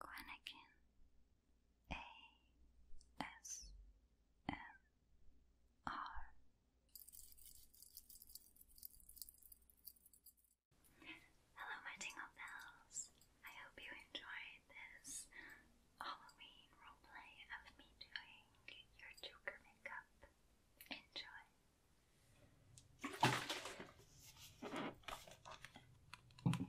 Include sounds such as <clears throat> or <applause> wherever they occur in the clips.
Quennekin A S M R Hello my Tingle Bells! I hope you enjoyed this Halloween roleplay of me doing your Joker makeup. Enjoy!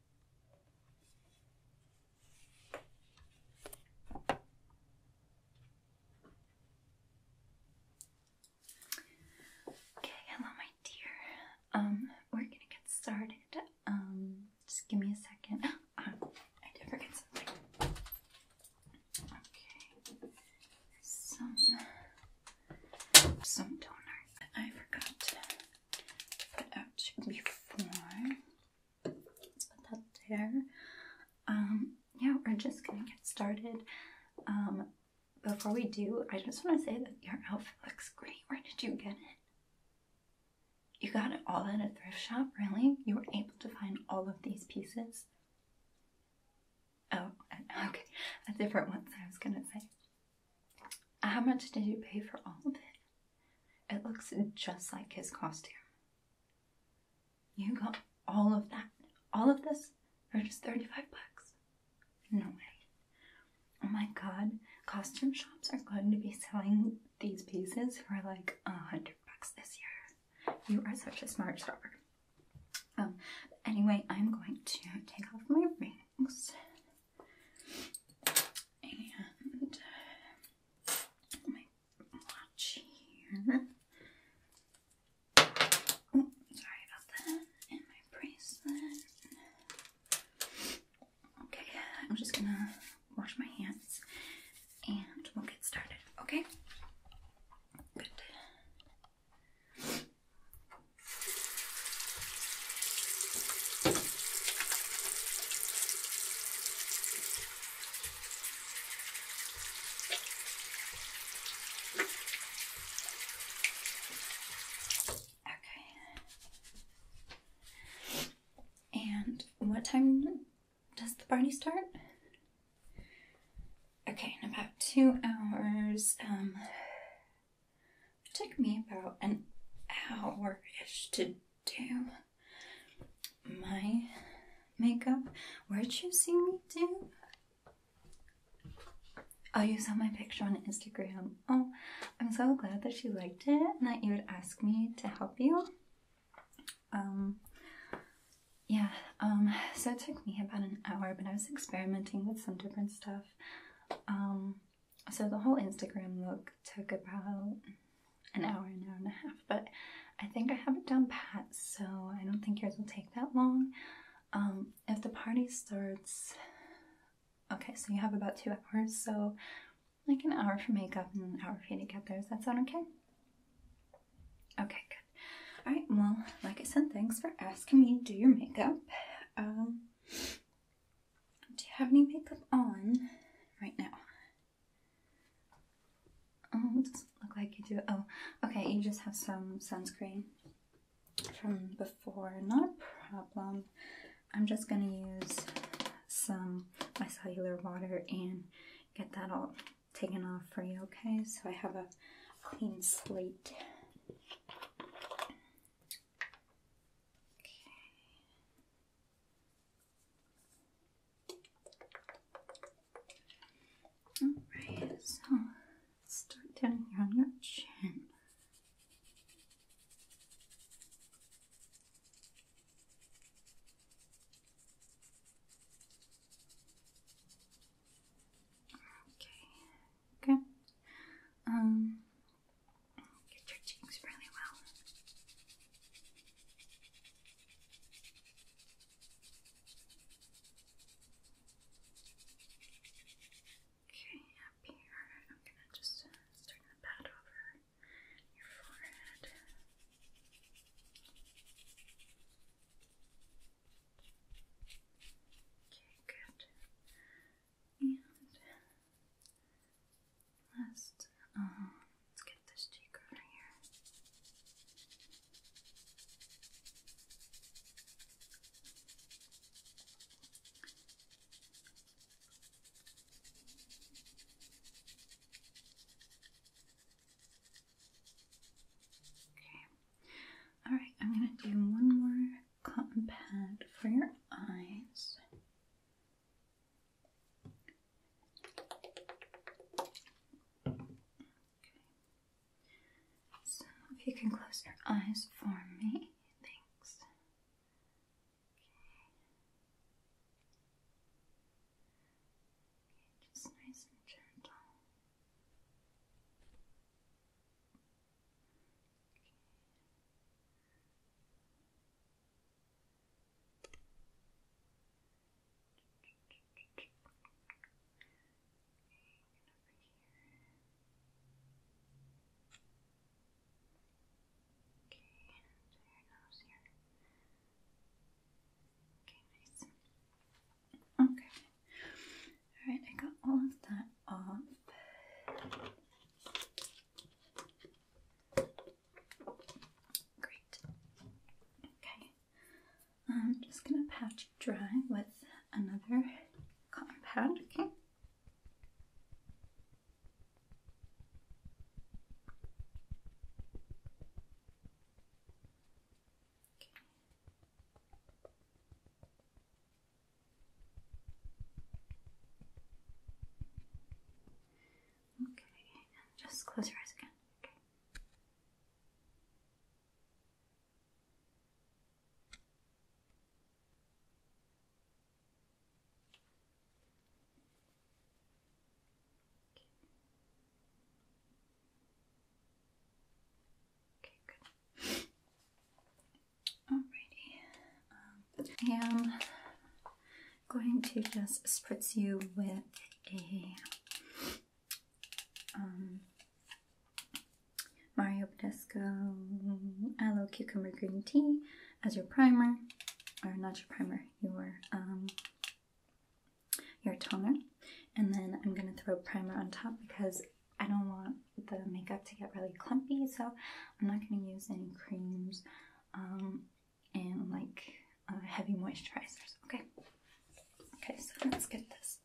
Okay, hello, my dear. Um, we're gonna get started. Um, just give me a second. Oh, <gasps> I did forget something. Okay, some some toner. I forgot put out before. Let's put that there. Um, yeah, we're just gonna get started. Um, before we do, I just want to say that your outfit looks great. Where did you get it? You got it all at a thrift shop, really? You were able to find all of these pieces? Oh, <laughs> okay. A different one I was gonna say. How much did you pay for all of it? It looks just like his costume. You got all of that, all of this for just 35 bucks? No way. Oh my god, costume shops are going to be selling these pieces for like a hundred bucks this year. You are such a smart shopper. Um, anyway, I'm going to take off my rings and uh, my watch here. Oh, sorry about that. And my bracelet. Okay, I'm just gonna wash my hands and we'll get started, okay? Okay. And what time does the party start? Okay, in about two hours. Um, it took me about an hour ish to do my makeup. Where'd you see me do? Oh, you saw my picture on Instagram. Oh, I'm so glad that you liked it and that you would ask me to help you. Um, yeah, um, so it took me about an hour, but I was experimenting with some different stuff. Um, so the whole Instagram look took about an hour, an hour and a half, but I think I have it done, pat, so I don't think yours will take that long. Um, if the party starts, okay, so you have about two hours, so like an hour for makeup and an hour for you to Does that sound okay? Okay, good. All right, well, like I said, thanks for asking me to do your makeup. Um, do you have any makeup on right now? Oh, doesn't look like you do. Oh, okay, you just have some sunscreen from before. Not a problem. I'm just gonna use some my cellular water and get that all taken off for you, okay? So I have a clean slate. Okay. Alright, so start down here on your chin. Okay, good. Um, Get your cheeks really well. Okay, up here, I'm gonna just uh, start to over your forehead. Okay, good. And last, uh, let's get this cheek over here. Okay. All right, I'm going to do one more cotton pad for your eyes. So if you can close your eyes for me, thanks. Just nice and gentle. Okay, and Okay, nice. Okay. Alright, I got all of that off. Great. Okay. I'm just gonna patch dry with another compound. Okay. Okay, just close your eyes again. Okay. Okay, good. Alrighty, um, I am going to just spritz you with a um, Mario Badescu Aloe Cucumber Green Tea as your primer, or not your primer, your um, your toner, and then I'm gonna throw primer on top because I don't want the makeup to get really clumpy, so I'm not going to use any creams um, and like uh, heavy moisturizers. Okay. Okay, so let's get this.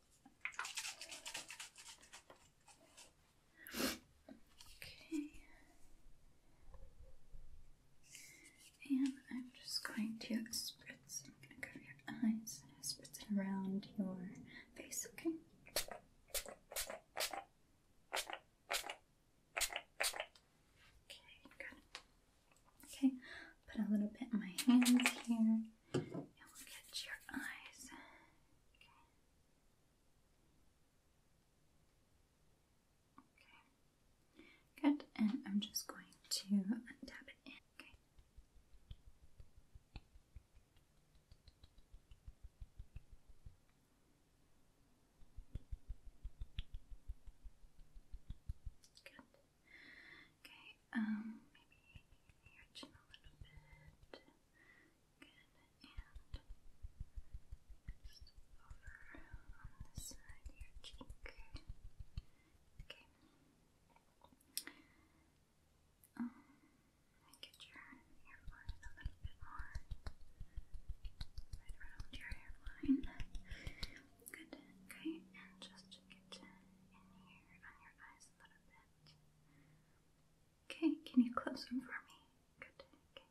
Okay. And I'm just going to spritz. I'm going to cover your eyes spritz around your face, okay? Okay, good. Okay, put a little bit in my hands here and will get your eyes. Okay. Okay. Good, and I'm just going to tap it in. Okay. Good. Okay, um, maybe your a little bit. and just over on the side of your Okay. Um, get your hairline a little bit more right around your hairline. Good, okay, and just get in here on your eyes a little bit. Okay, can you close them for me? Good, okay.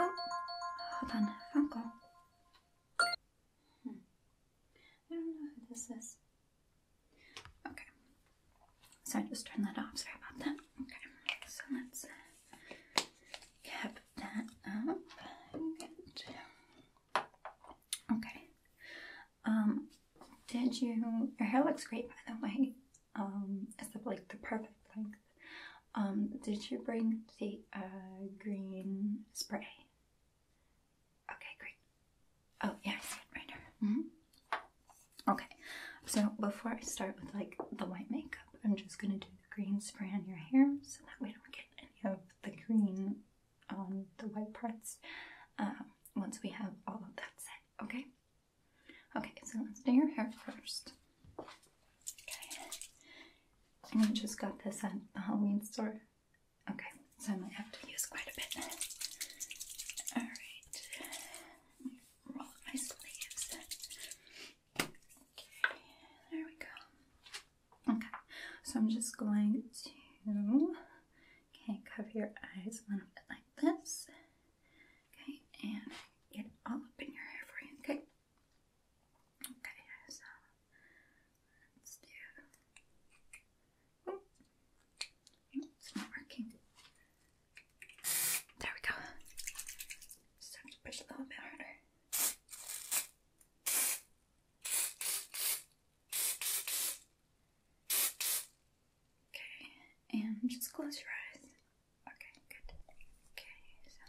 Oh, hold on, phone call. Hmm. I don't know who this is. Okay, Sorry, just turned that off. Sorry about that. Okay, so let's uh, cap that up. Okay. Um, did you? Your hair looks great, by the way. Um, it's like the perfect length. Um, did you bring the uh, green spray? Okay, great. Oh, yeah, I right here. -hmm. Okay, so before I start with like the white makeup, I'm just gonna do the green spray on your hair so that we don't get any of the green on um, the white parts um, once we have all of that set, okay? Okay, so let's do your hair first. Okay, and I just got this at the Halloween store. Okay, so I might have to use quite a bit. Alright, Okay, there we go. Okay, so I'm just going to okay cover your eyes a little bit like this. Okay, and get all up in your hair for you. Okay. Okay, so let's do. It's not working. There we go. Just have to push a little bit harder. Okay, and just close your eyes. Okay, good. Okay, so.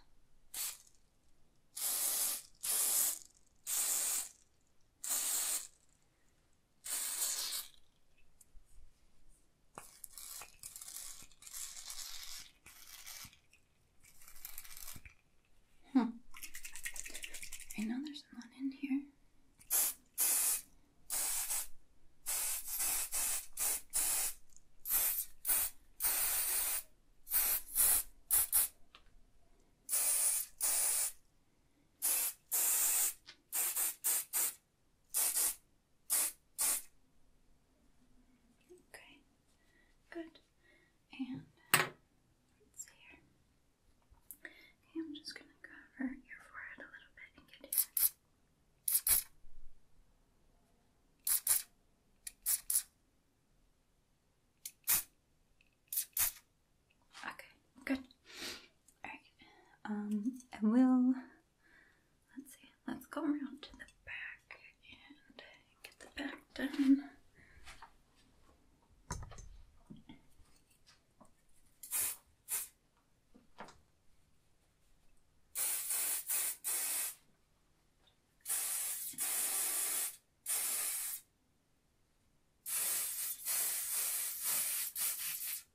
Hmm. I know there's a in here. Okay, good. And let's see here. Okay, I'm just gonna cover your forehead a little bit and get here. Okay, good. Alright. Um, I will Let's see, let's go around to the back and get the back done.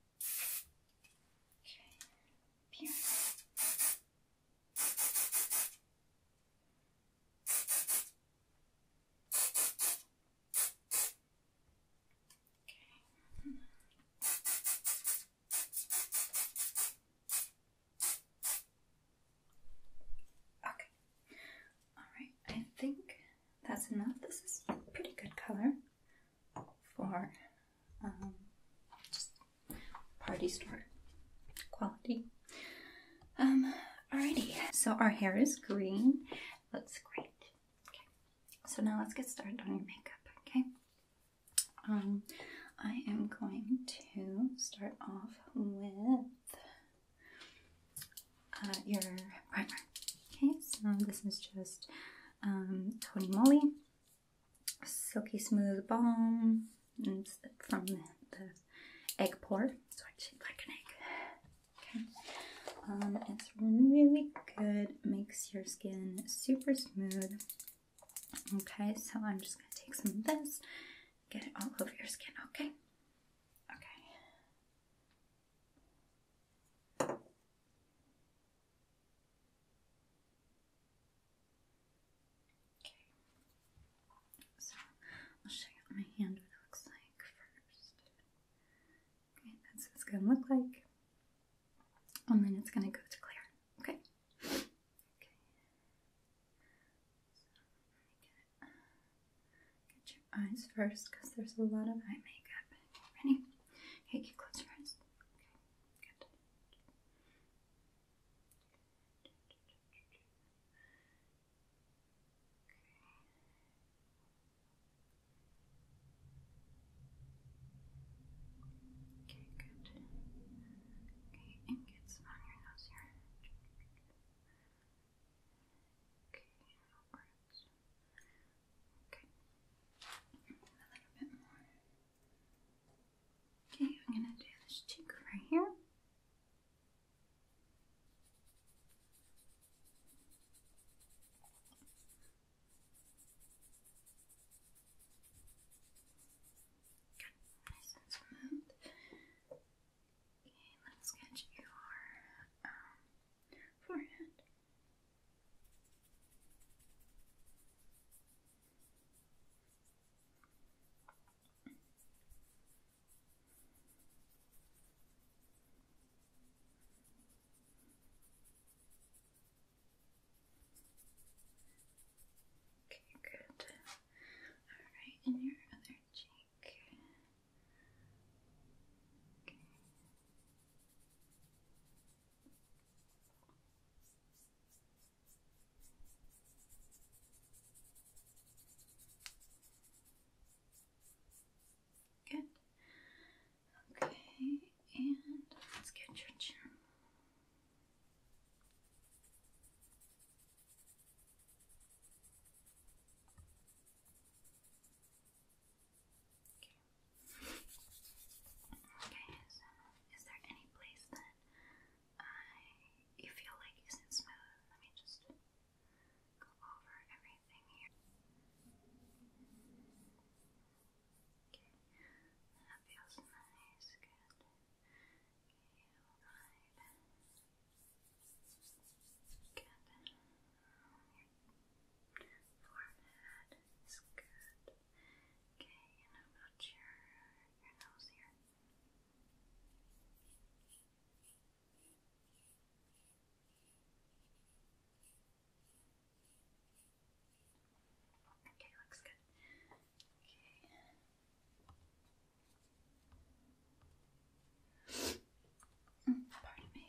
Okay, here. Okay. Okay. All right. I think that's enough. This is pretty good color for um, just party store quality. Um, alrighty, so our hair is green. Looks great. Okay, so now let's get started on your makeup, okay? Um, I am going to start off with uh, your primer. Okay, so this is just um, Tony Moly silky smooth balm from the, egg pour. So I shaped like an egg. Um, it's really good, makes your skin super smooth. Okay, so I'm just gonna take some of this, get it all over your skin, okay? Okay. Okay. So I'll show you my hand what looks like first. Okay, that's what it's gonna look like. And then it's gonna go to clear. Okay. Okay. So get, your eyes first because there's a lot of eye makeup. Ready? Okay, you close your eyes. Okay. Good. Okay. Okay, good. Okay, and get some on your nose here. Okay, that works. Okay. a little bit more. Okay, I'm going to do this cheek right here. nice and smooth. Okay, let's get your um, forehead. Okay, good. Alright, and your other cheek. Okay. Good. Okay, and let's get your chin. Okay. Okay, so is there any place that I you feel like isn't smooth? Let me just go over everything here. Okay. That feels nice, good. Okay, alright. Good. forehead is good. Okay, Okay, looks good. Okay. Mm, pardon me.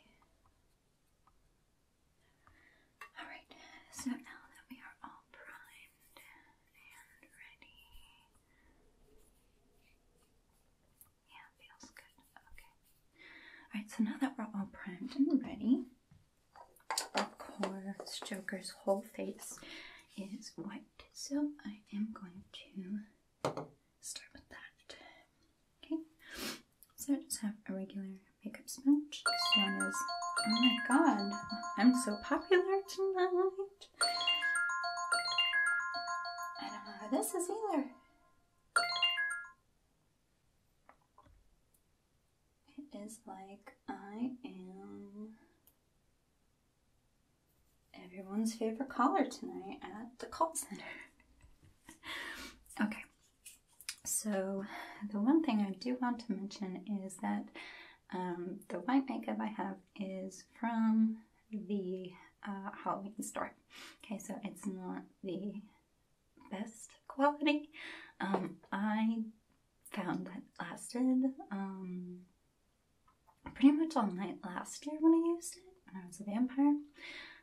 Alright, so now that we are all primed and ready. Yeah, feels good. Okay. Alright, so now that we're all primed and ready, of course, Joker's whole face is white, so I am going to start with that. Okay. So I just have a regular makeup sponge. This one is, oh my god, I'm so popular tonight. I don't know how this is either. It is like I am everyone's favorite caller tonight at the call center. <laughs> okay, so, the one thing I do want to mention is that um, the white makeup I have is from the uh, Halloween store. Okay, so it's not the best quality. Um, I found that lasted um, pretty much all night last year when I used it, and I was a vampire.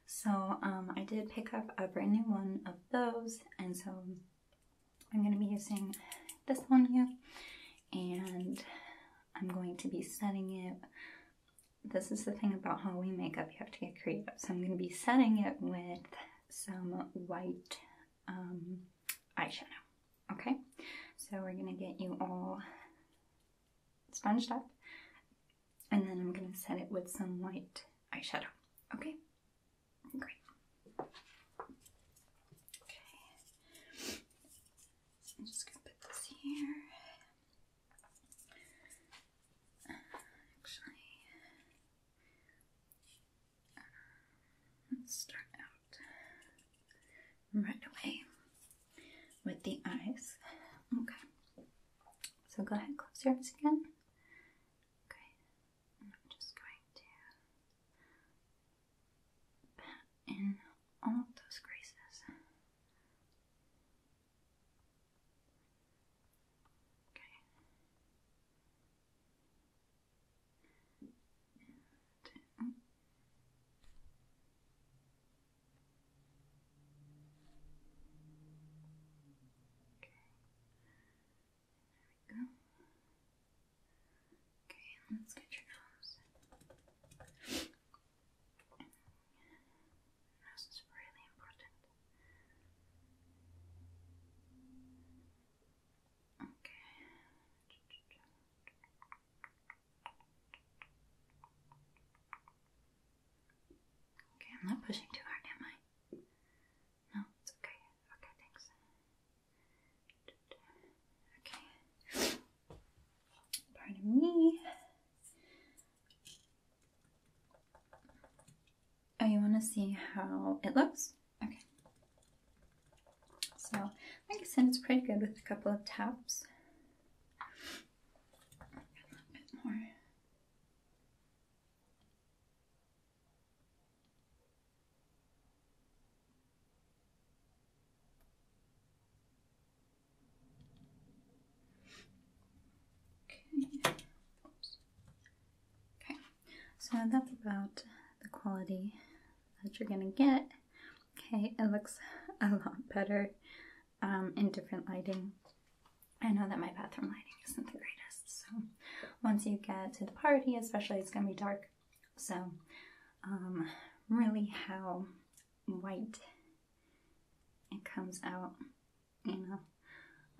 So I did pick up a brand new one those and so I'm going to be using this one here and I'm going to be setting it. This is the thing about Halloween makeup, you have to get creative. So I'm going to be setting it with some white um, eyeshadow, okay? So we're going to get you all sponged up and then I'm going to set it with some white eyeshadow, okay? Great. Okay. I'm just gonna put this here. actually, let's start out right away with the eyes. Okay. So go ahead, close your eyes again. Okay. And I'm just going to pat in all those creases. Okay. Okay. Okay, let's get your nose. Nose is really important. Okay. Okay, I'm not pushing too hard, am I? No, it's okay. Okay, thanks. Okay. Pardon me. Oh, you want to see how it looks? Okay. So, I I said, it's pretty good with a couple of taps. A little bit more. Okay. okay, so that's about the quality that you're gonna get. Okay, it looks <laughs> a lot better um, in different lighting. I know that my bathroom lighting isn't the greatest, so once you get to the party, especially, it's gonna be dark. So, um, really, how white it comes out, you know,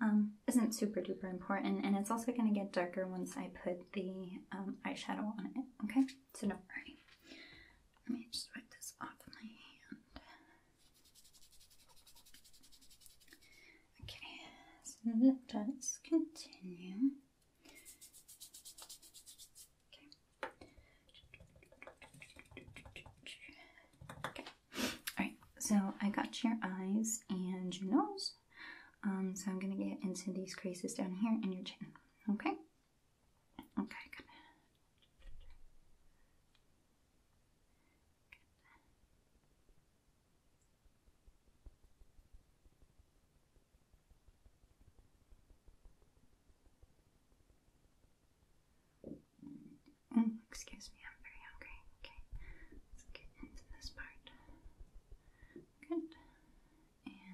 um, isn't super duper important. And it's also gonna get darker once I put the um, eyeshadow on it, okay? So, don't worry. Let me just wipe this off my hand. Okay, so let's continue. Okay. Alright, so I got your eyes and your nose. Um, so I'm gonna get into these creases down here in your chin. Okay? Okay, good. Mm, excuse me, I'm very hungry. Okay, let's get into this part. Good. And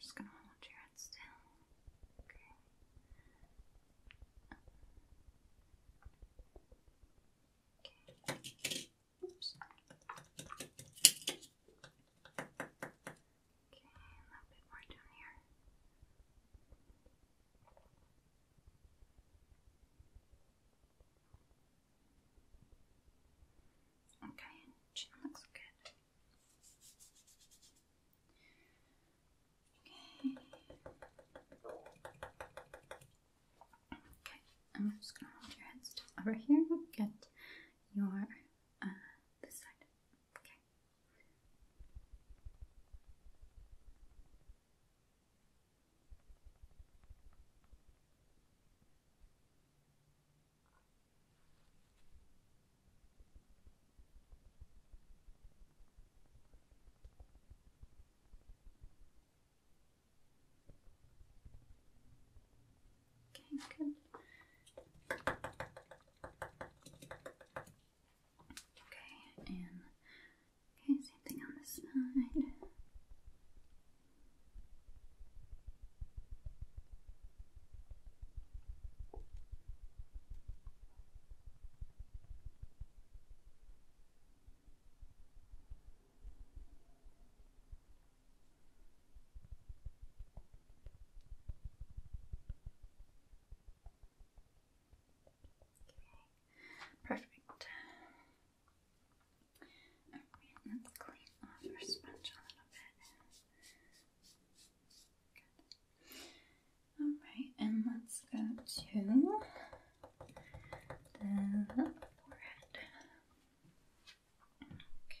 just gonna hold your head still. Okay. Okay. Oops. Okay, a little bit more down here. Okay, chin looks good. Okay. Okay, I'm just gonna hold your hands over here. Get your uh, this side. Okay. Okay, good. Okay, and okay, same thing on this side. Perfect. let's clean off our sponge a little bit. Alright, and let's go to then the forehead. Okay.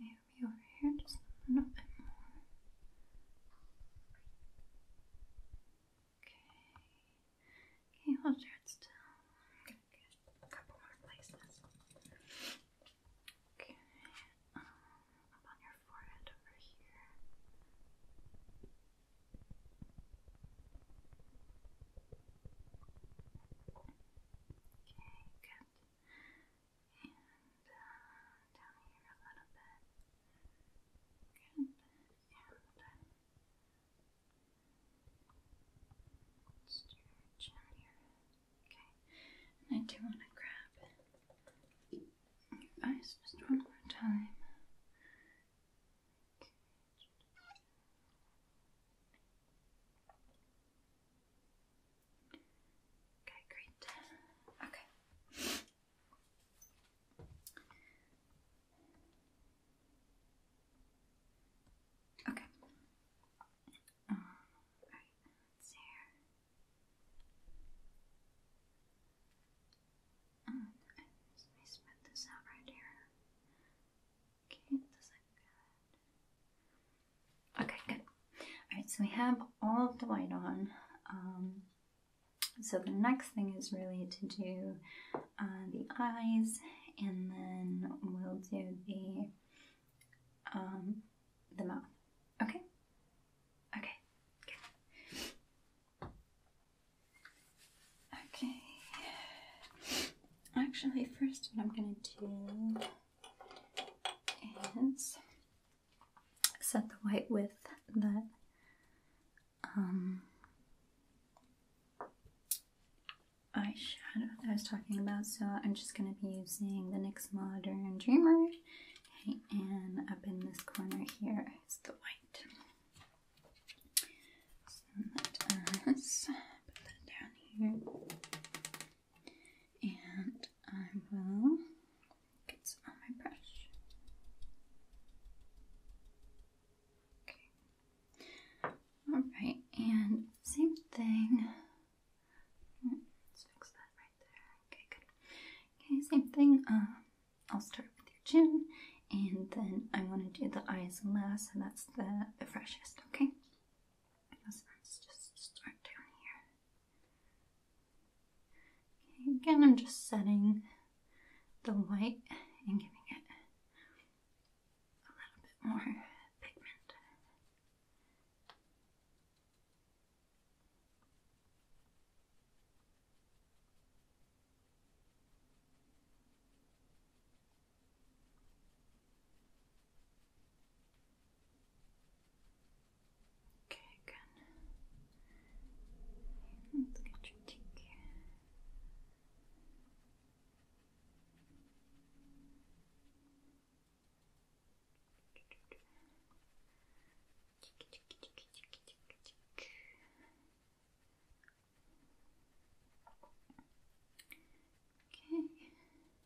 maybe over here just a bit more. Okay. Can hold your head still? i a couple more places. Okay. Um, up on your forehead over here. Okay, good and down here a little bit. Good. And just your chin on Okay. I do want to grab your eyes just one more time. Okay. Okay, great. Okay. Okay. Um, right, let's see here. Um, I this out right here. Okay, it doesn't. Okay, good. All right, so we have all of the white on. Um, so the next thing is really to do uh, the eyes, and then we'll do the um, the mouth. Okay. Okay. Okay. Actually, first, what I'm gonna do and set the white with that um, eyeshadow that I was talking about. So I'm just going to be using the NYX Modern Dreamer. and up in this corner here is the white. put that down here and I will get some on my brush. Okay. Alright, and same thing. Let's fix that right there. Okay, good. Okay, same thing. Uh, I'll start with your chin and then I want to do the eyes last, and that's the, freshest, okay? let's just start down here again, I'm just setting the white and giving it a little bit more pigment. Okay, good. Let's get your cheek. Okay.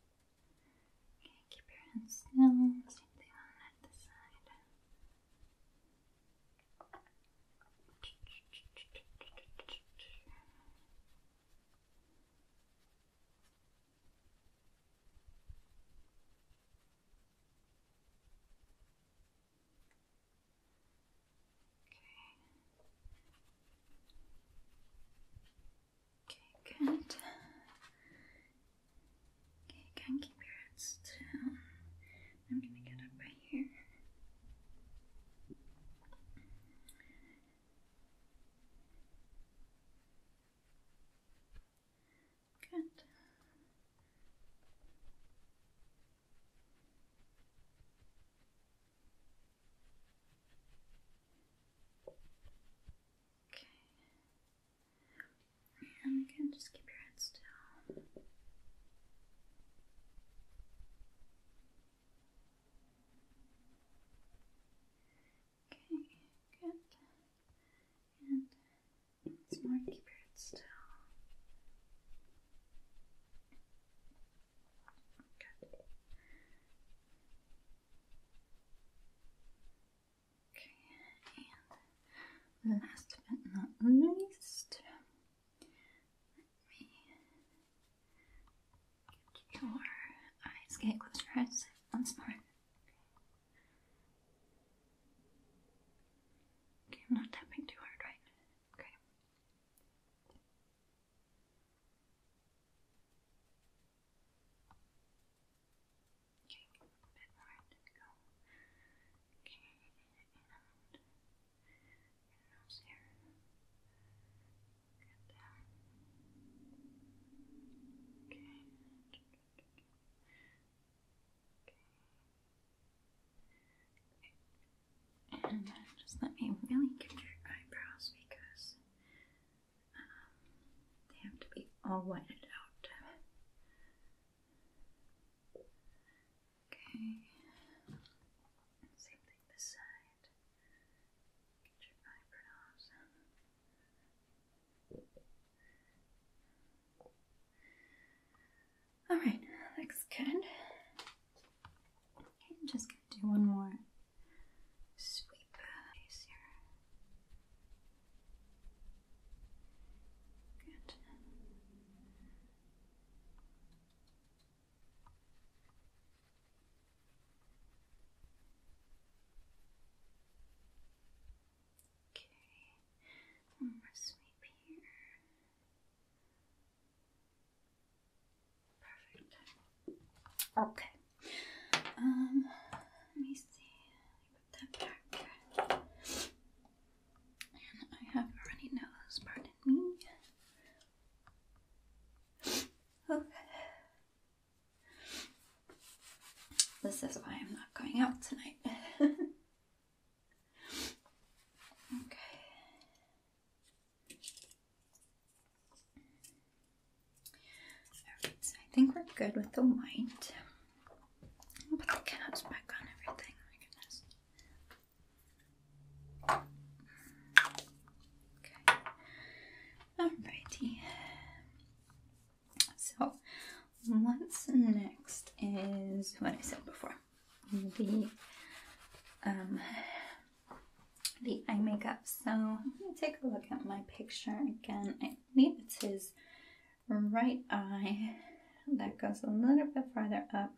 Okay, keep your hands still. Same thing on at side. Okay. Okay, good. Okay, you can keep your heads down. I'm gonna get up right here. Good. Okay, Okay. And you just keep your head still. Okay, good. And once more, keep your head still. Good. Okay, and last but not least, let your eyes, get your eyes once more. Okay, I'm not tapping too hard, right? Okay. Okay, a bit more to go. Okay, and your nose here. Get that. Okay. Okay. And just let me really get your eyebrows because they have to be all whited out. Okay. Same thing this side. Get your eyebrows. Alright, looks good. I'm just gonna do one more sweep uh, here. Okay, one more sweep here. Perfect. Okay. Um, let me see. Put that back. I have a runny nose, pardon me. Okay. This is why I'm not going out tonight. <laughs> okay. Alright, so I think we're good with the white. I'll put on everything, my goodness. Okay. Alrighty. So what's next is what I said before. The um the eye makeup. So let me take a look at my picture again believe it's his right eye that goes a little bit farther up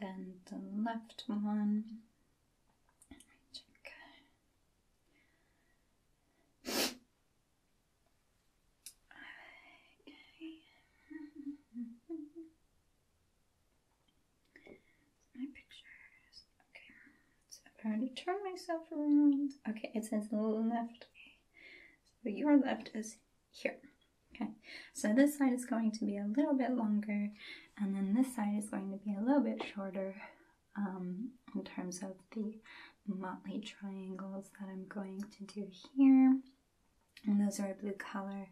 than the left one. My pictures. Okay. So I'm going to turn myself around. Okay, it says left. Okay. So your left is here. Okay, so this side is going to be a little bit longer, and then this side is going to be a little bit shorter um, in terms of the motley triangles that I'm going to do here. And those are a blue color.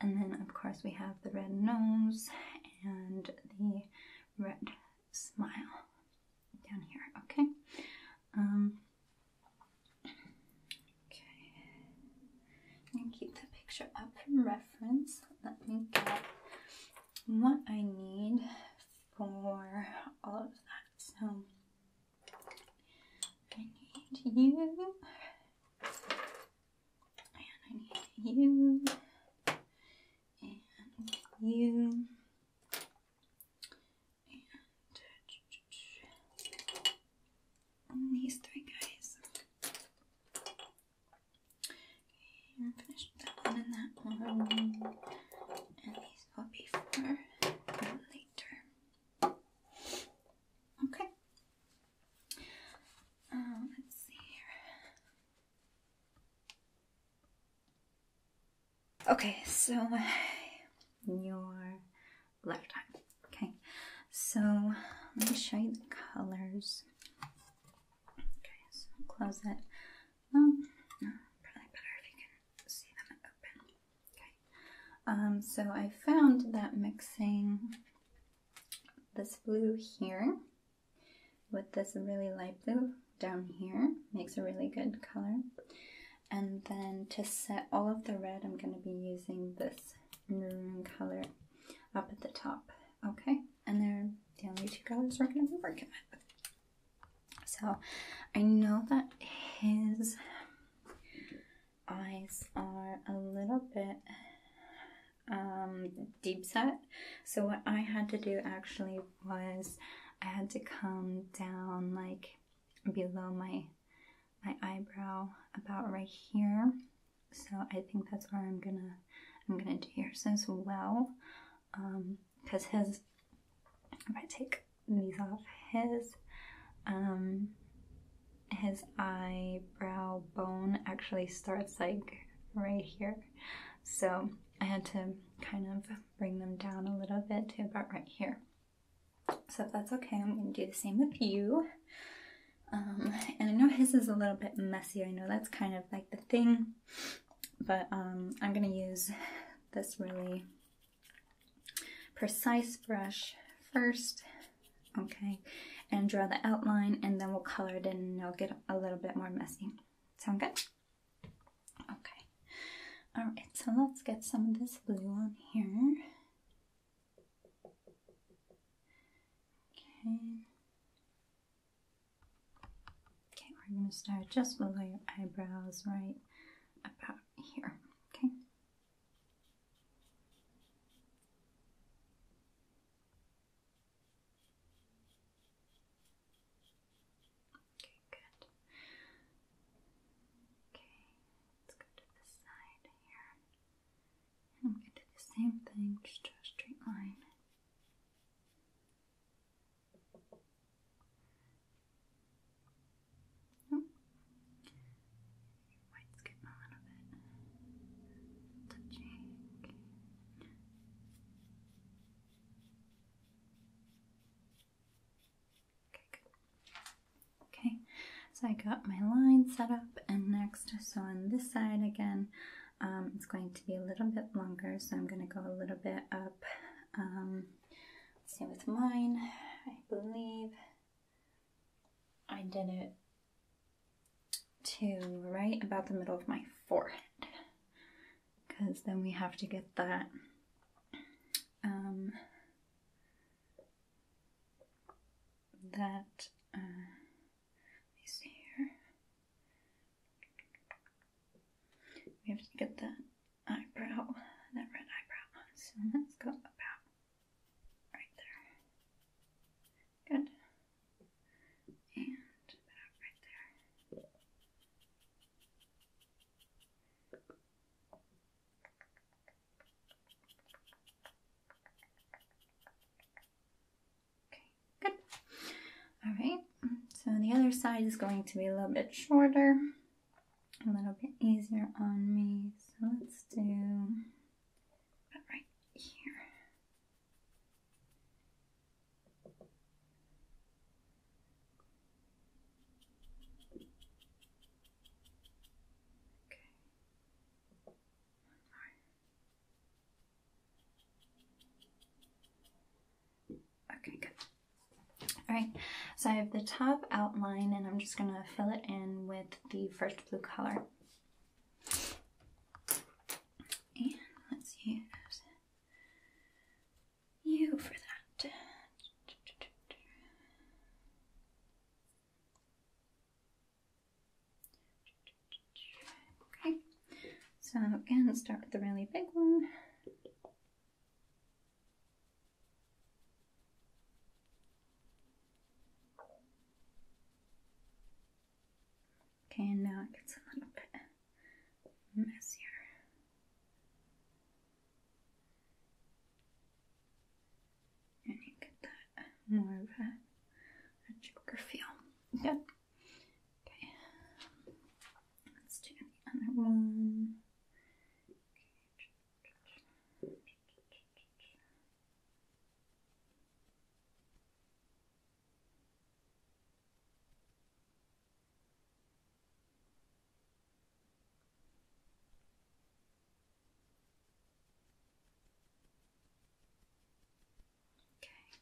And then, of course, we have the red nose and the red smile down here. Okay. Um, okay. And keep the picture up for reference. Let me get what I need for all of that. So I need you. And I need you and you and these three guys. Okay, and finish that one and that one. And these will be for later. Okay. Uh, let's see here. Okay, so <sighs> your lifetime. Okay, so let me show you the colors. Okay, so close it. Oh, um, so I found that mixing this blue here with this really light blue down here makes a really good color and then to set all of the red I'm going to be using this maroon color up at the top okay and then the only two colors we're going to be working with so I know that his eyes are a little bit um, deep set so what I had to do actually was I had to come down like below my my eyebrow about right here so I think that's where I'm gonna I'm gonna do yours as well because um, his if I take these off his um, his eyebrow bone actually starts like right here so I had to kind of bring them down a little bit to about right here. So if that's okay, I'm going to do the same with you. Um, and I know his is a little bit messy. I know that's kind of like the thing, but um, I'm going to use this really precise brush first, okay, and draw the outline, and then we'll color it in, and it'll get a little bit more messy. Sound good? Okay. All right. So let's get some of this blue on here. Okay. Okay, we're gonna start just below your eyebrows, right about here. Okay. Okay, good. Okay, let's go to this side here. I'm going to do the same thing, just draw a straight line. Oh. white's getting a little bit touchy. Okay, so I got my line set up and next, so on this side again, um, it's going to be a little bit longer, so I'm going to go a little bit up. Um, Same with mine, I believe I did it to right about the middle of my forehead because then we have to get that um, that let me see here we have to get that eyebrow that red eyebrow so let's go about right there good Okay, good. All right, so the other side is going to be a little bit shorter, a little bit easier on me. So let's do about right here. Okay. One Okay, good. Alright, so I have the top outline and I'm just going to fill it in with the first blue color. And let's use you for that. Okay, so again, start with the really big one. Okay, and now it gets a little bit messier. And you get that more of a, a feel. Good. Okay. Let's do the other one.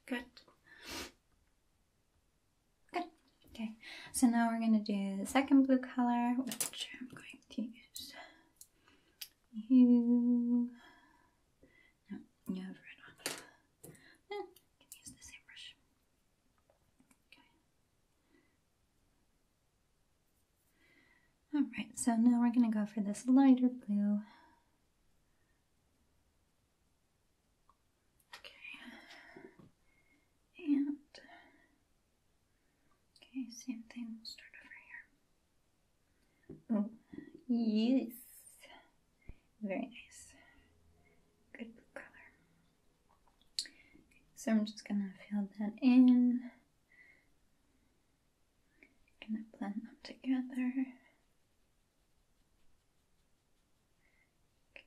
Okay, good. Good. Okay, so now we're going to do the second blue color, which I'm going to use you. No, you have red on. Eh, Alright, so now we're going to go for this lighter blue. Okay. And. Okay, same thing. We'll start over here. Oh, yes. Very nice. Good color. so I'm just gonna fill that in. Gonna blend them together. Okay,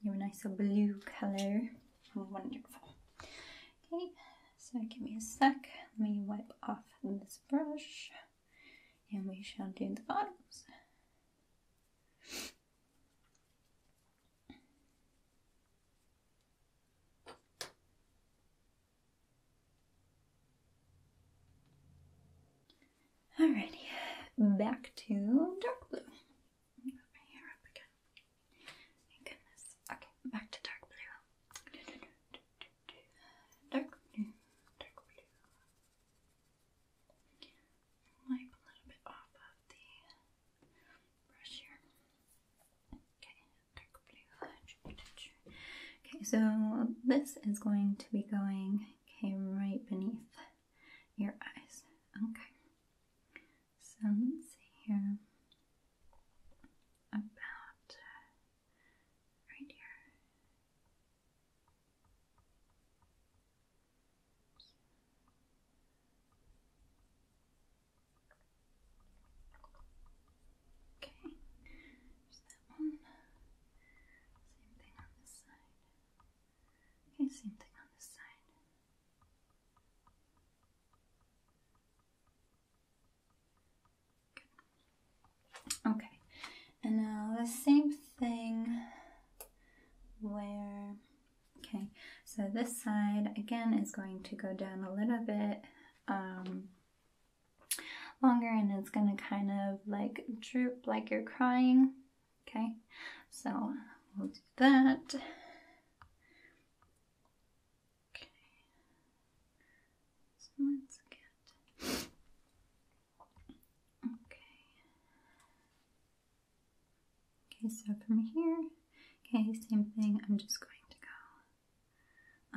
You're a nicer blue colour. Wonderful. Okay, so give me a sec. Let me wipe off this brush and we shall do the bottoms. Alrighty, back to dark blue. Move my hair up again. Thank goodness. Okay, back to dark blue. Dark dark blue. Wipe a little bit off of the brush here. Okay, dark blue. Okay, so this is going to be going okay right beneath your eyes. Okay. So let's see here. About uh, right here. Okay. There's that one. Same thing on this side. Okay, same thing on this side. Okay, and now the same thing where, okay, so this side again is going to go down a little bit um, longer and it's going to kind of like droop like you're crying. Okay, so we'll do that. Okay, so let's get. Okay. Okay, so from here, okay, same thing. I'm just going to go.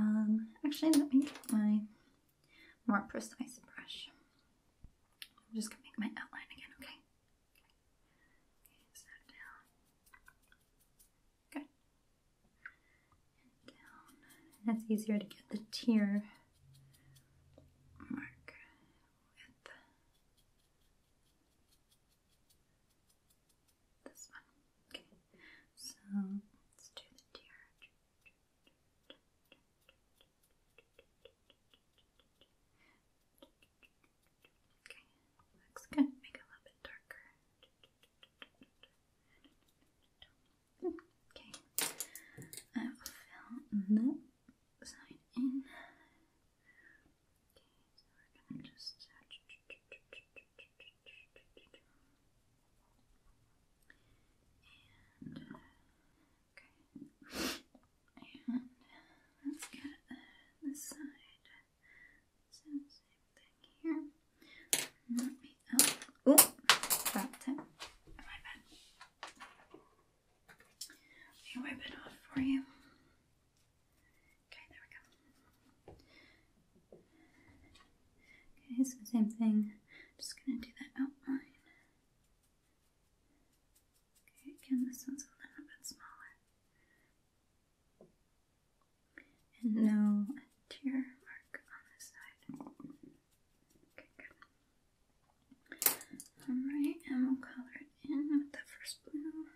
Um, actually, let me get my more precise brush. I'm just gonna make my outline again, okay? Okay, down. Good. down. it's easier to get the tear mark with this one. Okay, so let's do the tear. Okay, looks good. Make it a little bit darker. Okay, I will fill the side in. Okay, so we're gonna just. Okay. And let's get uh, side. So same thing here. Let me Oh, dropped it. My bad. Let me wipe it off for you. Okay, there we go. Okay, same thing. Just gonna do that outline. Okay, again, this one's a little bit smaller. And no tear mark on this side. Okay, good. Alright, and we'll color it in with the first blue.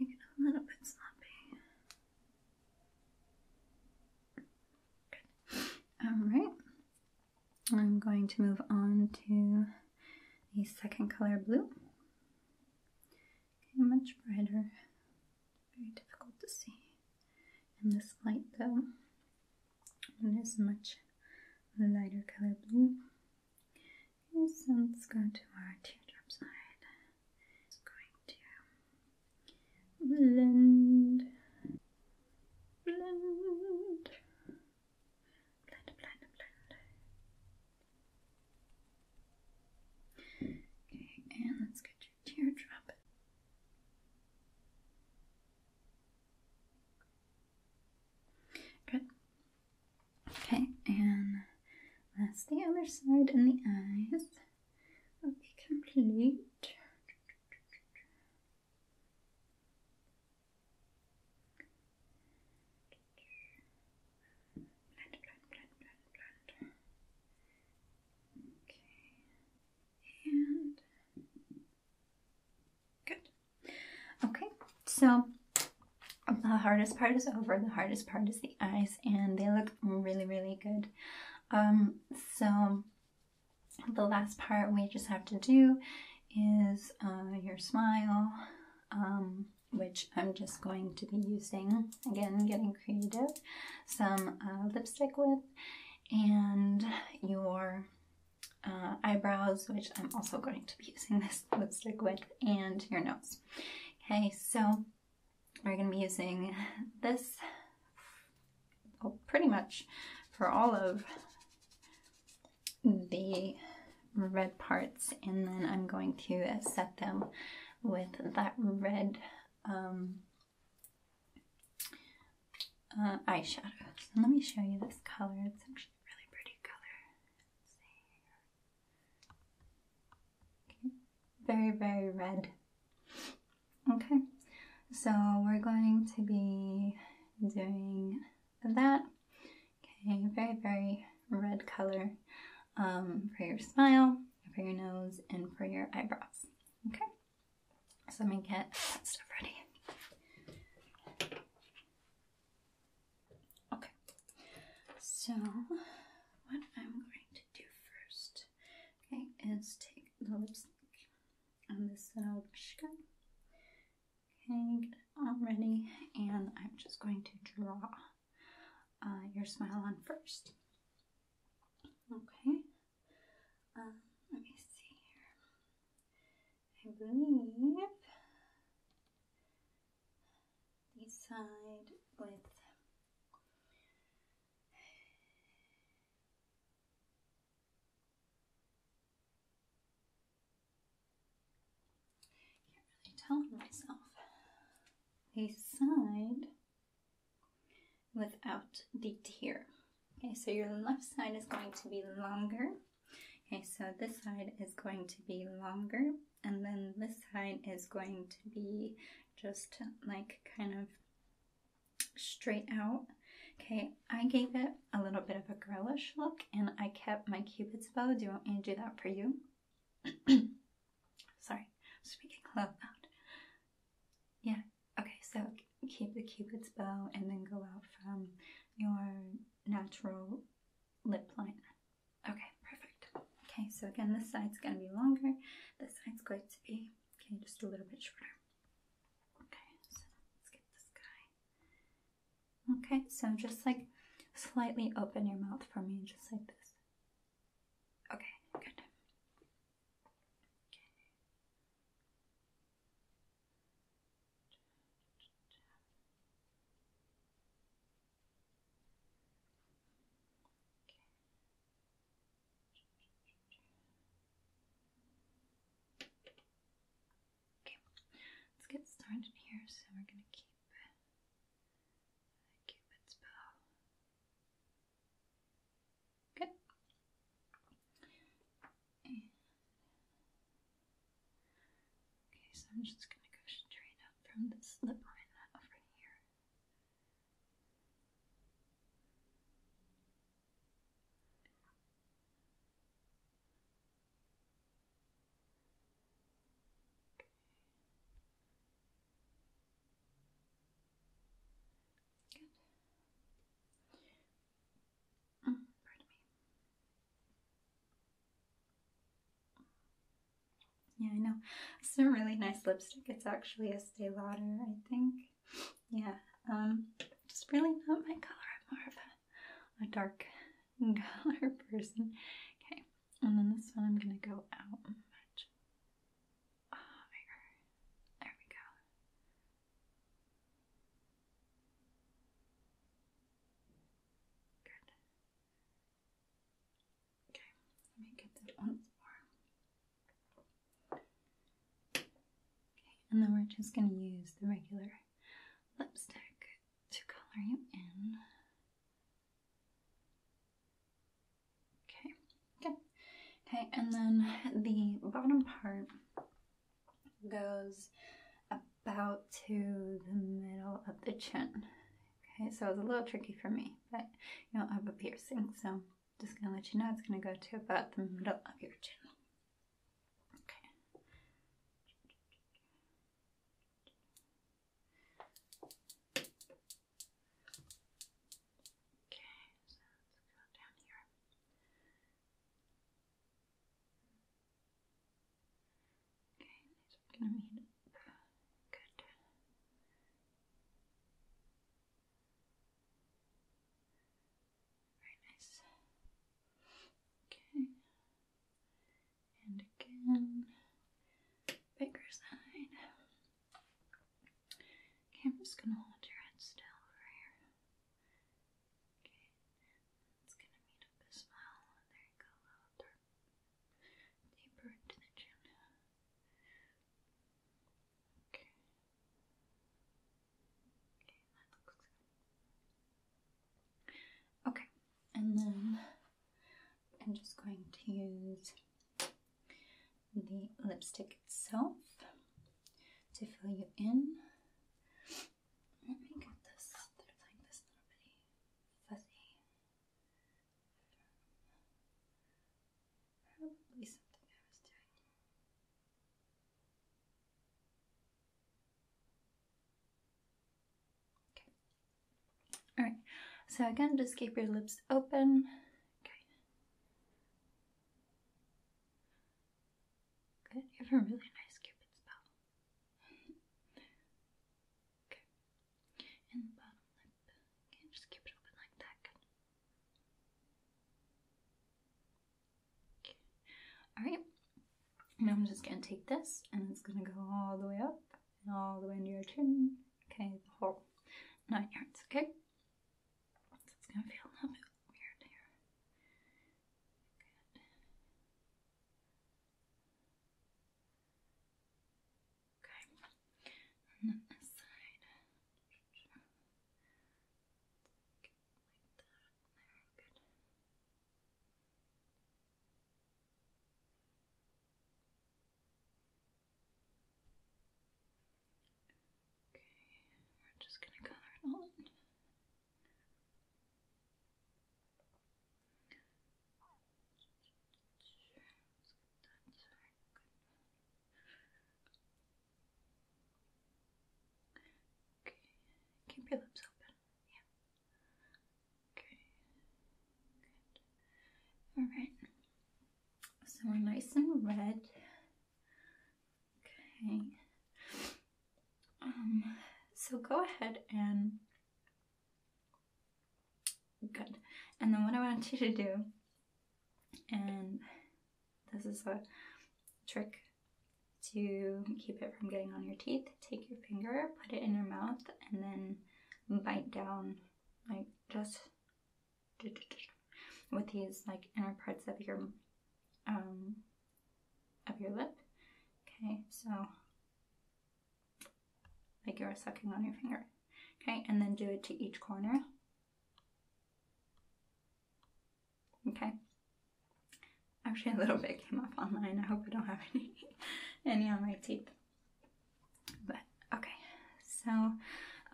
Make it a little bit sloppy. Good. Alright, I'm going to move on to the second color blue. Okay, much brighter, very difficult to see in this light though. It is much lighter color blue. so let's go to our teardrop side. Just going to Blend. Blend. Blend, blend, blend. Okay, and let's get your teardrop. Good. Okay, and that's the other side and the eyes will be complete. Okay. And good. Okay, so the hardest part is over. The hardest part is the eyes, and they look really, really good. Um, so the last part we just have to do is uh, your smile, um, which I'm just going to be using, again, getting creative, some uh, lipstick with, and your uh, eyebrows, which I'm also going to be using this <laughs> lipstick with, and your nose. Okay, so we're going to be using this pretty much for all of the red parts and then I'm going to set them with that red um, uh, eyeshadow. let me show you this color. It's actually really pretty color. Very, very red. Okay, so we're going to be doing that. Okay, very, very red color um, for your smile, for your nose, and for your eyebrows. Okay, so let me get that stuff ready. Okay, so what I'm going to do first, okay, is take the lipstick on the side Okay, I'm ready, and I'm just going to draw uh, your smile on first. Okay, um, let me see here. I believe the side with can't really tell myself. A side without the tear. Okay, so your left side is going to be longer. Okay, so this side is going to be longer, and then this side is going to be just like kind of straight out. Okay, I gave it a little bit of a girlish look and I kept my cupid's bow. Do you want me to do that for you? <clears throat> Sorry, speaking out loud. Yeah, okay, so keep the cupid's bow and then go out from your natural lip line. Okay, perfect. Okay, so again, this side's going to be longer. This side's going to be, okay, just a little bit shorter. Okay, so let's get this guy. Okay, so just like slightly open your mouth for me, just like this. Okay, good. Okay. Okay, let's get started here. So we're going to keep the cupid's bow. Good. okay, so I'm just going to go straight up from this slip line over here. Mm, yeah, I know. It's <laughs> a really nice lipstick. It's actually a stay Lauder, I think yeah, um, it's really not my color. I'm more of a, dark <laughs> color person. Okay, and then this one I'm gonna go out much. Oh, there we go. Good. Okay, let me get that once more. Okay, and then we're just going to use the regular lipstick to color you in. Okay, good. Okay, and then the bottom part goes about to the middle of the chin. Okay, so it's a little tricky for me, but you know, I have a piercing, so just gonna let you know it's gonna go to about the middle of your chin. Okay. Okay, Okay, very nice. Okay. And again, bigger side. Okay, gonna hold your head still over here. Okay, it's gonna meet up as well. There you go, deeper into the chin. Okay. Okay, and then I'm just going to use the lipstick itself to fill you in. Let me get this. There's like this little fuzzy. Okay. All right. So again, just keep your lips open. Okay. Good. You have a really nice cupid's bow. okay. And the bottom lip. Okay, just keep it open like that. Good. All right, now I'm just gonna take this and it's gonna go all the way up all the way into your chin. Okay, the whole nine yards, okay? it's gonna feel a little weird here. Okay, and then this side like that. Okay, we're just gonna color it all keep your lips open. Yeah. Okay. All right. So we're nice and red. Okay. Um. So go ahead and good. And then what I want you to do and this is a trick to keep it from getting on your teeth. Take your finger, put it in your mouth, and then bite down like just with these like inner parts of your um of your lip. Okay, so like you're sucking on your finger. Okay, and then do it to each corner. Okay. Actually, a little bit came up online. I hope I don't have <laughs> any, any on my teeth. But okay, so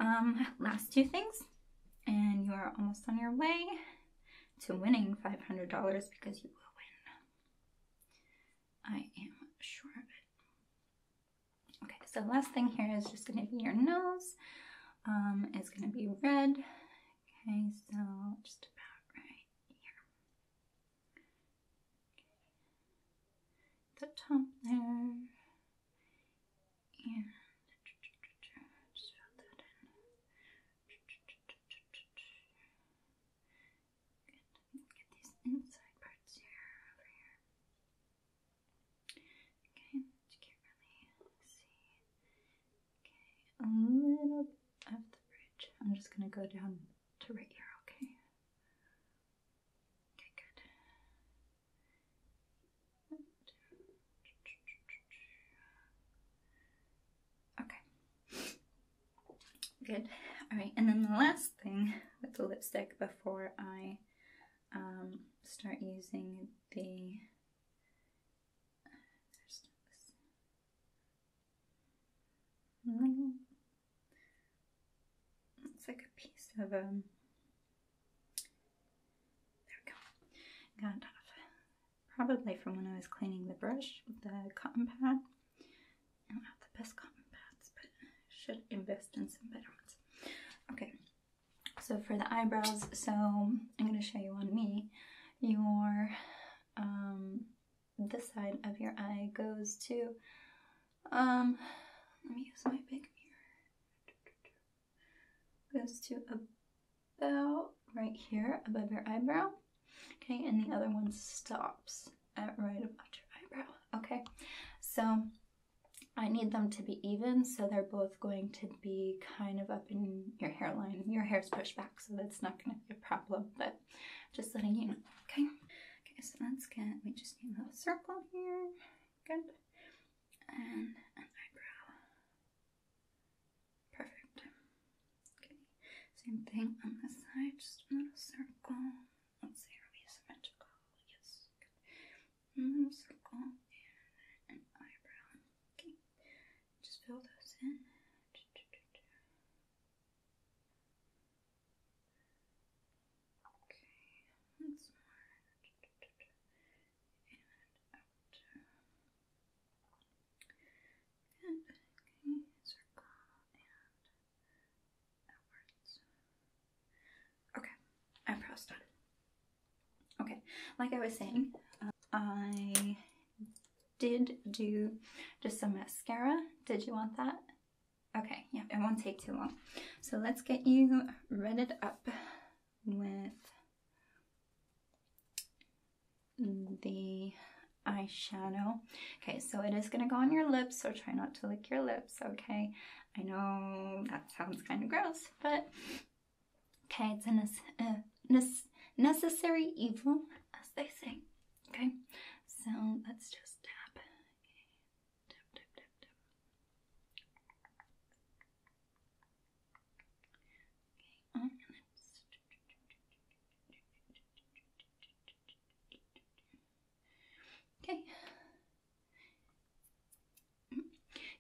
um, last two things, and you are almost on your way to winning $500 because you will win. I am sure of it. Okay, so last thing here is just going to be your nose um, it's going to be red. Okay, so just about right here. The top there. And just fill that in. Get these inside parts here, over here. Okay, you can't really see. Okay, a little of the bridge. I'm just gonna go down to right here, okay? Okay, good. Okay. Good. Alright, and then the last thing with the lipstick before I um, start using the Mm. it's like a piece of um there we go got off probably from when I was cleaning the brush with the cotton pad I don't have the best cotton pads but should invest in some better ones okay so for the eyebrows, so I'm going to show you on me. Your, um, this side of your eye goes to, um, let me use my big mirror. Goes to about right here above your eyebrow. Okay, and the other one stops at right above your eyebrow. Okay, so I need them to be even, so they're both going to be kind of up in your hairline. Your hair's pushed back, so that's not going to be a problem, but just letting you know, okay? Okay, so let's get, we just need a little circle here, good, and an eyebrow. Perfect. Okay, same thing on this side, just a little circle. Let's see, are we symmetrical? Yes, good. Mm, mm-hmm, circle and an eyebrow. Okay. Just fill those in. Okay, once more. And out. Good. Okay, circle and outwards. Okay, I'm pressed on. Okay, like I was saying, I did do just some mascara. Did you want that? Okay, yeah, it won't take too long. So let's get you redded up with the eyeshadow. Okay, so it is gonna go on your lips, so try not to lick your lips, okay? I know that sounds kind of gross, but Okay, it's a uh, necessary evil, as they say. Okay, so let's just tap. Okay.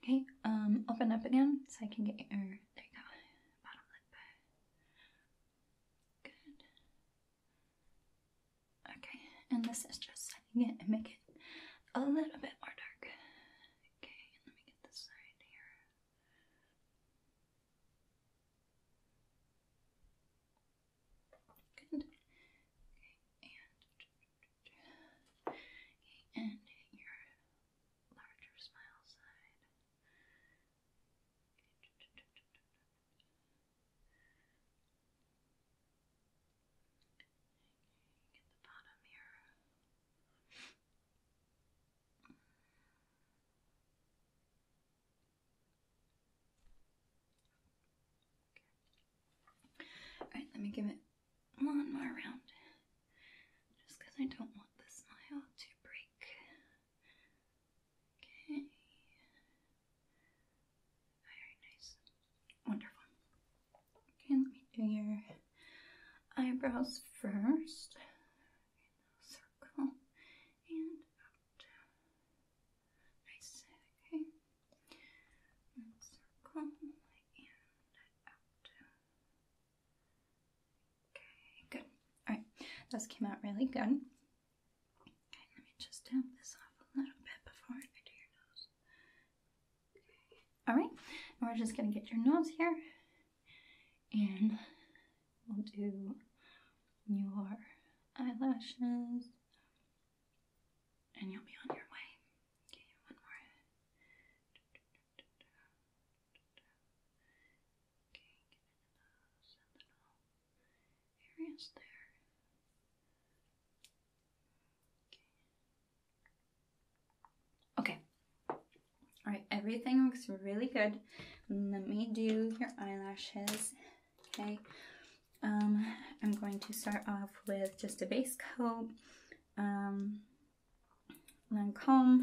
Okay, um, open up again so I can get your. There you go. Bottom lip. Good. Okay, and this is just setting it and make it a little bit more dark. Okay, let me get this side here. Good. Okay, and and your larger smile side. get the bottom here. Alright, let me give it lawnmower around just because I don't want the smile to break. Okay. Very nice. Wonderful. Okay, let me do your eyebrows first. Circle and out. Nice. Okay. circle and out. Okay, good. Alright, those came out really good. Okay, let me just tap this off a little bit before I do your nose. Okay. Alright, we're just gonna get your nose here and we'll do your eyelashes and you'll be on your way. Okay, one more. Okay, okay. Alright, everything looks really good. Let me do your eyelashes. Okay. Um, I'm going to start off with just a base coat. Um, and Lancome.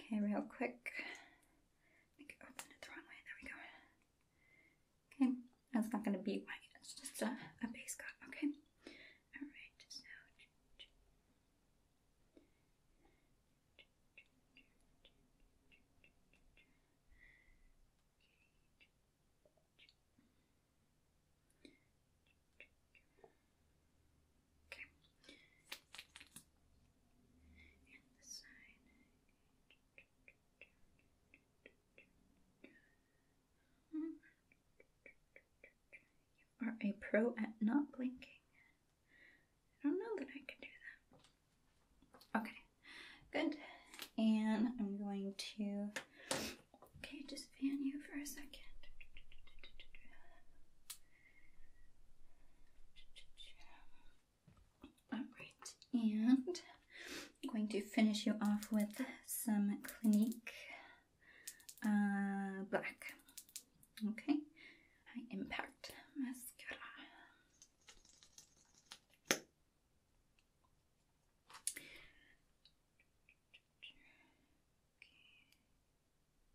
Okay, real quick. There we go. Okay, that's not going to be white. It's just a, a base coat. Okay. All right. Okay. You are a pro at not blinking. I don't know that I can do that. Okay, good. And I'm going to Okay, just fan you for a second. Alright, and I'm going to finish you off with some Clinique uh, Black. Okay, Impact Mascara. Okay.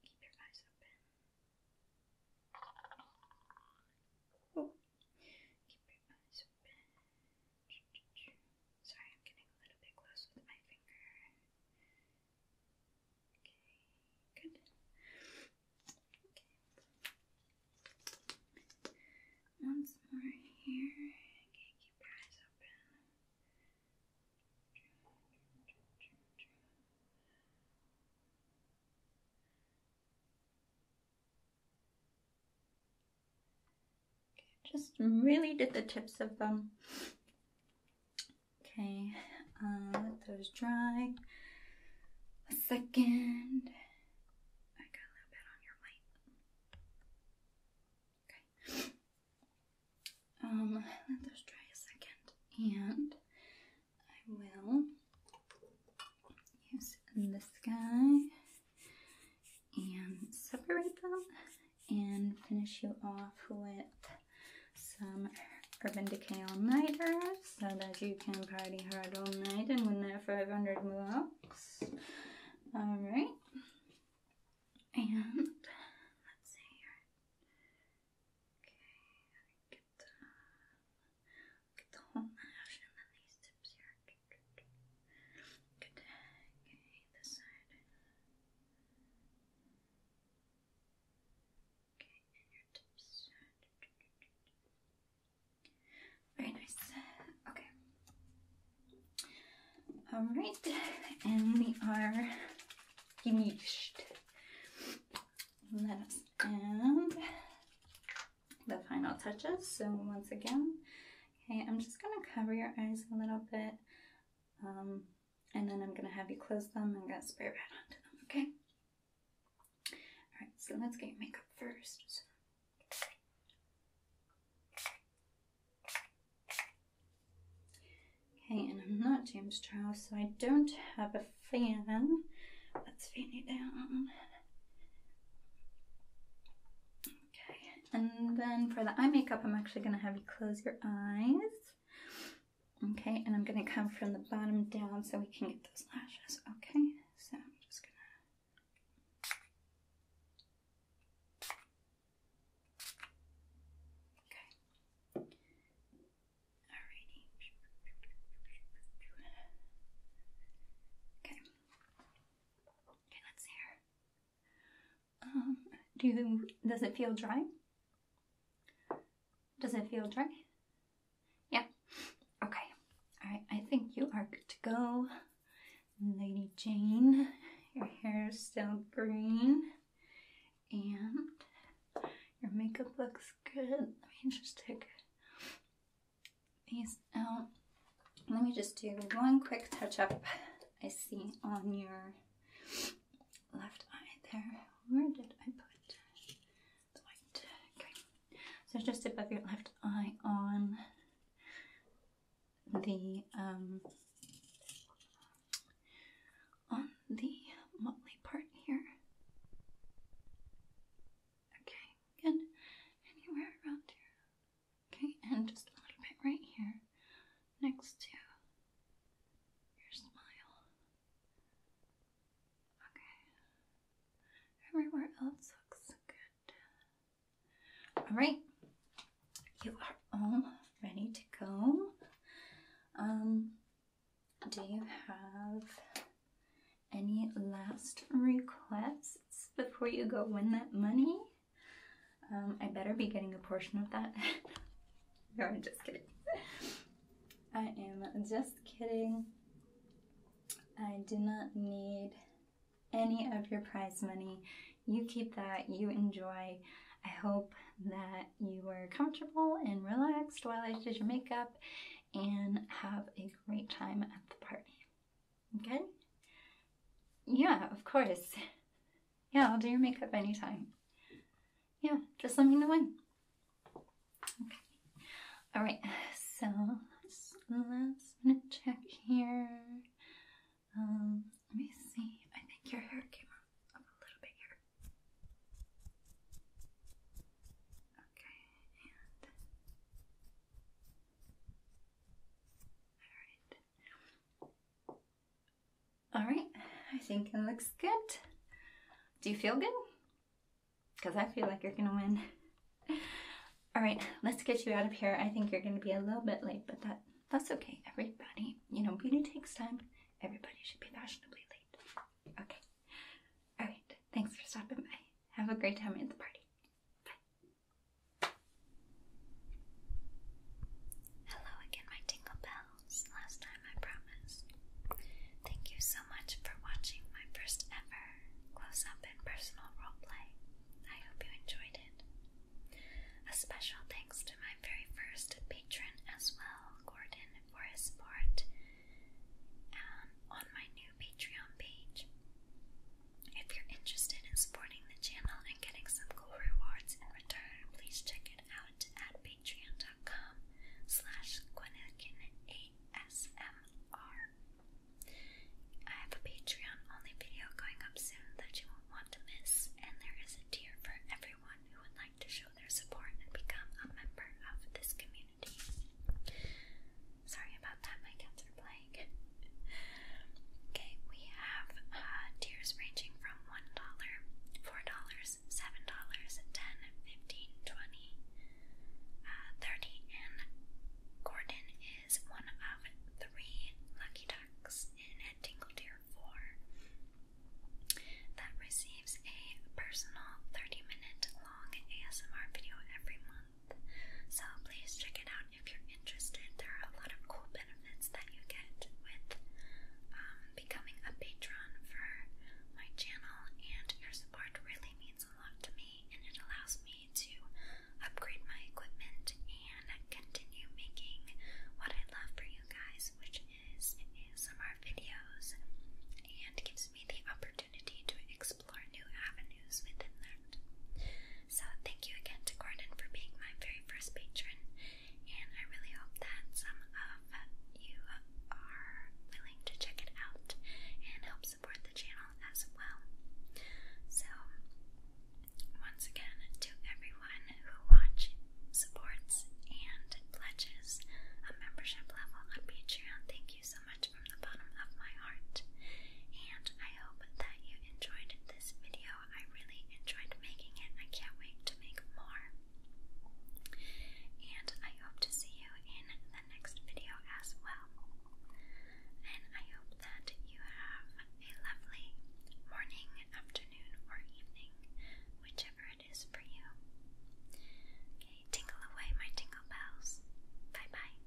Keep your eyes open. Oh. Keep your eyes open. Sorry, I'm getting a little bit close with my finger. Okay, good. Okay. Once more here. Okay, keep your eyes open. Just really did the tips of them. Okay, uh, let those dry. A second. I got a little bit on your light. Okay. Um, let those dry a second, and I will use this guy and separate them and finish you off with some Urban Decay All Nighter so that you can party hard all night and win that 500 bucks. Alright. And <laughs> let's see here. Okay, get the whole lash and then these tips here. Okay, this side. Okay, and your tips. Very nice. Okay. All right, and we are finished. Let us add the final touches. So once again, okay, I'm just gonna cover your eyes a little bit, um, and then I'm gonna have you close them I'm gonna spray right onto them. Okay. All right, so let's get makeup first. Okay, and I'm not James Charles, so I don't have a fan. Let's fan it down. Okay, and then for the eye makeup, I'm actually going to have you close your eyes. Okay, and I'm going to come from the bottom down so we can get those lashes. Okay, so I'm just going to. Okay. Alrighty. Okay. Okay, let's hear. Um, do does it feel dry? Does it feel dry? Yeah. Okay. Alright, I think you are good to go. Lady Jane, your hair is still green and your makeup looks good. Let me just take these out. Let me just do one quick touch up I see on your left eye there. Where did I put the white? Okay. So just above your left eye on the um on the motley part here. Okay, good. Anywhere around here. Okay, and just a little bit right here next to your smile. Okay. Everywhere else looks good. Alright, you are all ready to go. Um, do you have any last requests before you go win that money? Um, I better be getting a portion of that. <laughs> no, I'm just kidding. I am just kidding. I do not need any of your prize money you keep that, you enjoy. I hope that you were comfortable and relaxed while I did your makeup and have a great time at the party. Okay? Yeah, of course. <laughs> Yeah, I'll do your makeup anytime. Yeah, just let me know when. Okay. All right, so let's, let's check here. Um, let me see. I think your hair came up, a little bit here. Okay, all right. All right, I think it looks good. Do you feel good? Because I feel like you're gonna win. <laughs> All right, let's get you out of here. I think you're gonna be a little bit late, but that that's okay, everybody. You know, beauty takes time. Everybody should be fashionably late. Okay. All right. Thanks for stopping by. Have a great time at the party. Bye. Hello again, my tingle bells. Last time I promised. Thank you so much for watching my first ever close up and personal roleplay. I hope you enjoyed it. A special thanks to my very first patron as well, Gordon, for his support on my new Patreon page. If you're interested in supporting the channel and getting some cool rewards in return, please check it out at patreon.com slash ASMR. I have a Patreon only video going up soon that you won't want to miss, and there is a tier for everyone who would like to show their support and become a member of this community. Sorry about that, my cats are playing. <laughs> okay, we have uh, tiers ranging from $1, $4, $7, $10, $15, $20, uh, 30 and Gordon is one of three lucky ducks in a tingle tier tier that receives a personal 30 minute long ASMR video every month. So please check it out if you're interested. There are a lot of cool benefits that you get with um, becoming a patron for my channel, and your support really means a lot to me, and it allows me to upgrade my equipment continue making what I love for you guys, which is ASMR videos, and gives me the opportunity to explore new avenues within that. So, thank you again to Gordon for being my very first patron, and I really hope that some of you are willing to check it out and help support the channel as well. So, once again, to everyone who watches, supports, and pledges a membership level on Patreon, thank you so much from the bottom of my heart. And I hope that you enjoyed this video. I really enjoyed making it. I can't wait to make more. And I hope to see you in the next video as well. And I hope that you have a lovely morning, afternoon or evening, whichever it is for you. Okay, tingle away my tingle bells. Bye bye.